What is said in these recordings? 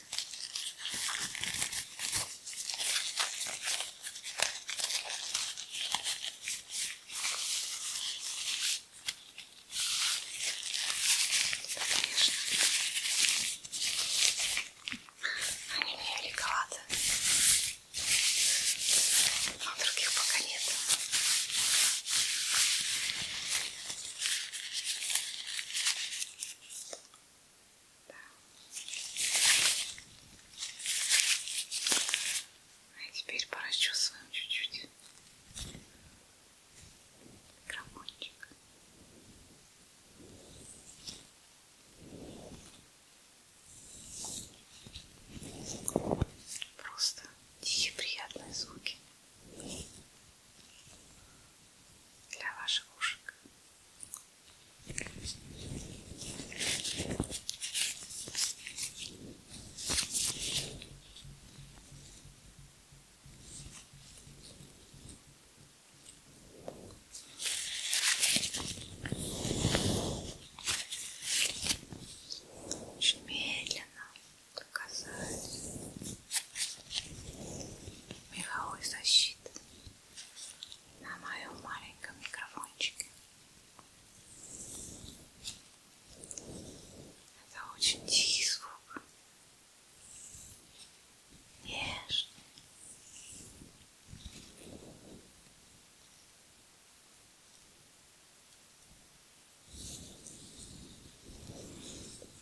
Конечно. Они великоваты. Но других пока нет. Да. А теперь порасчесываем чуть-чуть микрофончик. Просто тихие приятные звуки для ваших ушек. Очень медленно показать меховой защиты на моем маленьком микрофончике. Это очень тихий звук. Нежный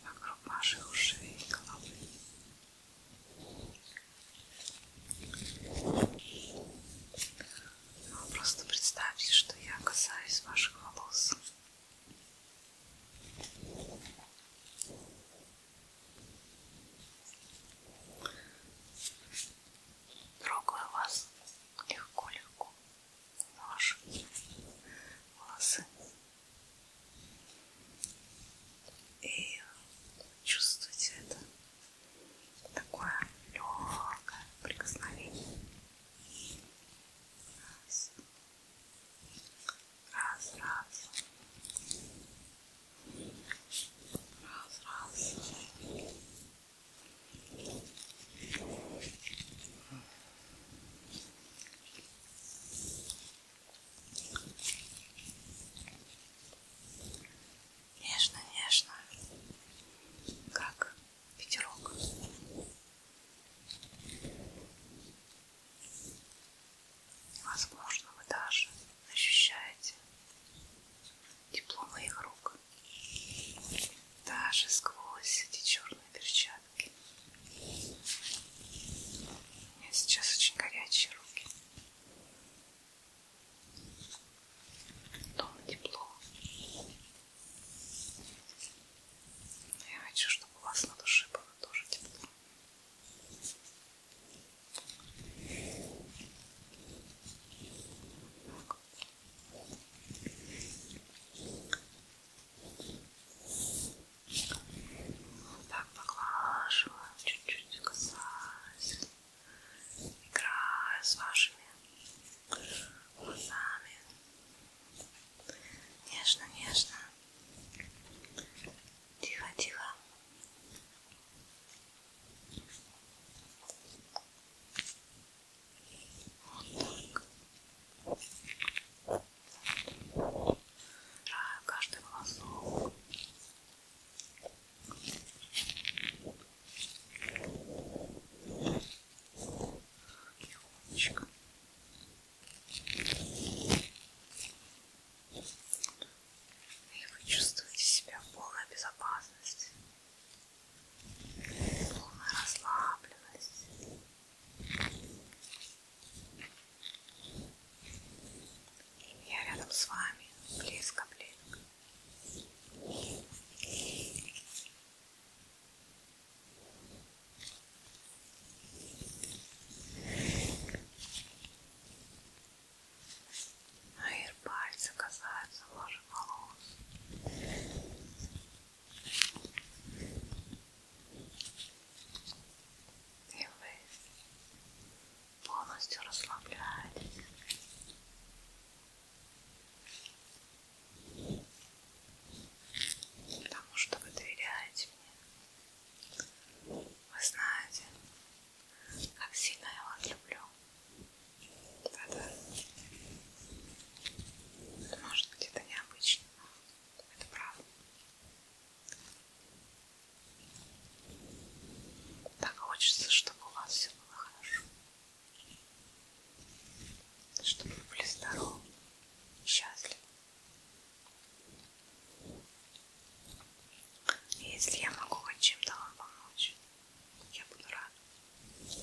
вокруг ваших ушей и головы. Ну, просто представьте, что я касаюсь ваших волос. Трогаю вас легко-легко на ваши волосы. И чувствуйте это такое легкое прикосновение. Раз, раз, раз. Раз, раз. Раз, Нежно, нежно, как ветерок. Возможно, вы даже ощущаете тепло моих рук даже сквозь эти черные перчатки порядке. У меня сейчас очень горячие руки. Дома тепло. Но я хочу, чтобы у вас на душе было тоже тепло. Так. Так поглаживаю, чуть-чуть касаюсь. Играю с вашими глазами. Нежно, нежно. Тихо, тихо. Вот так. Убираю каждый волосок. Тихонечко. И вы чувствуете себя в полной безопасности, в полной расслабленности. Я рядом с вами, близко, близко. Наир пальцы касаются ваших волос. И вы полностью расслабляетесь. Потому что вы доверяете мне. Вы знаете, как сильно я вас люблю. Да-да. Может быть это необычно, это правда. Так хочется, чтобы у вас все было хорошо. Чтобы вы были здоровы, счастливы. И если я могу хоть чем-то вам помочь, я буду рада.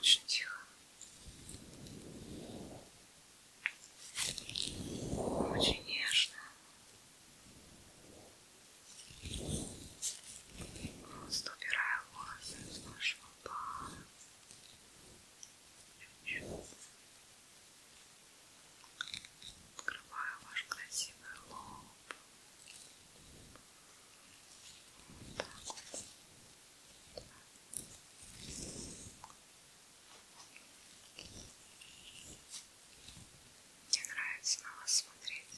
Очень тихо. Очень нежно. Просто убираю волосы с нашего пара. Открываю ваш красивый лоб. Вот так вот. Хорошо. Мне нравится на вас смотреть.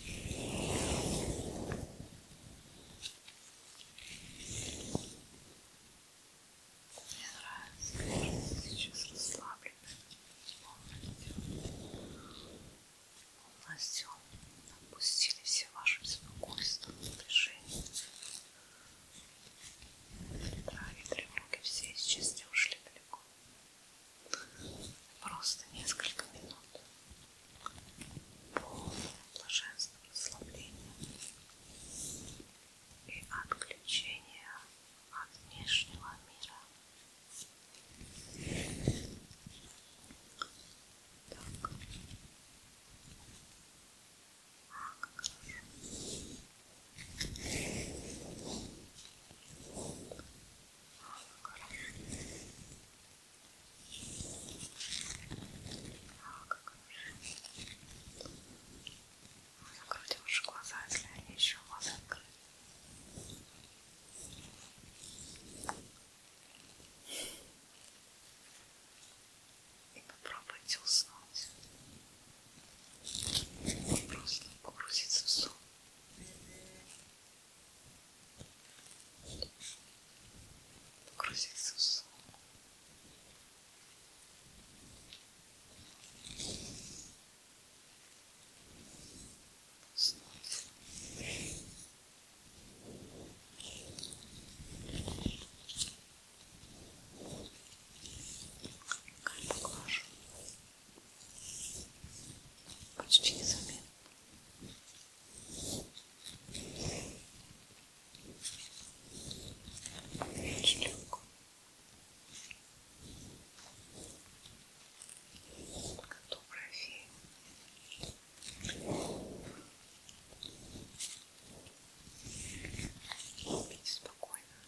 Мне нравится, сейчас расслаблена, полностью отпустили все ваши беспокойства, напряжения, Траве тревоги все сейчас не ушли далеко. Просто несколько минут полного блаженного расслабления и отключения от внешнего мира. Так. А, как хорошо. А, как хорошо. А, как хорошо. Закройте ваши глаза, если они еще у вас открыты и попробуйте уснуть. Просто погрузиться в сон. Погрузиться в сон. Уснуть. Поглажу. Почти незаметно. Очень легко. Как добрая фея. Спите спокойно.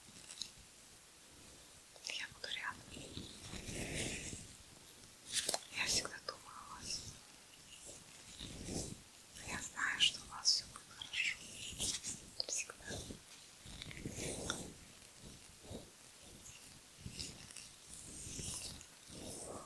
Я буду рядом. Я всегда думаю о вас. Я знаю, что у вас все будет хорошо. Всегда.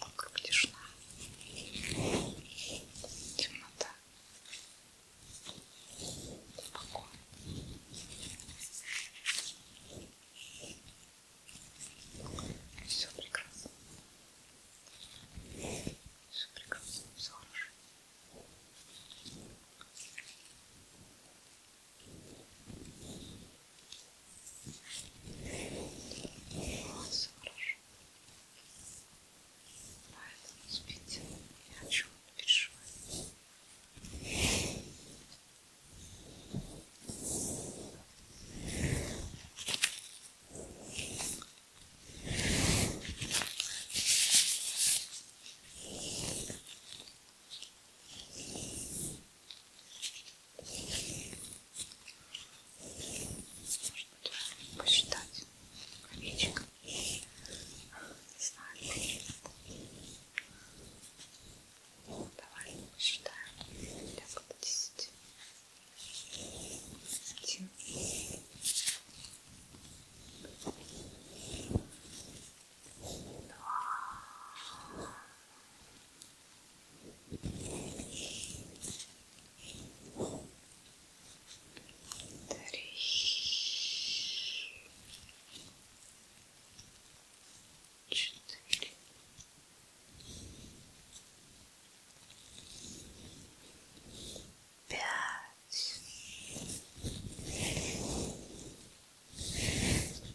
Вокруг тишина. Темнота. Спокойно. Все прекрасно. Все прекрасно. Все хорошо. Молодцы, хорошо. Поэтому спите, ни о чем не переживайте. Хорошо. Может быть, посчитать колечко. Не знаю. Ну, давай посчитаем. Хотя бы до десяти. Один. Два три, четыре, пять, шесть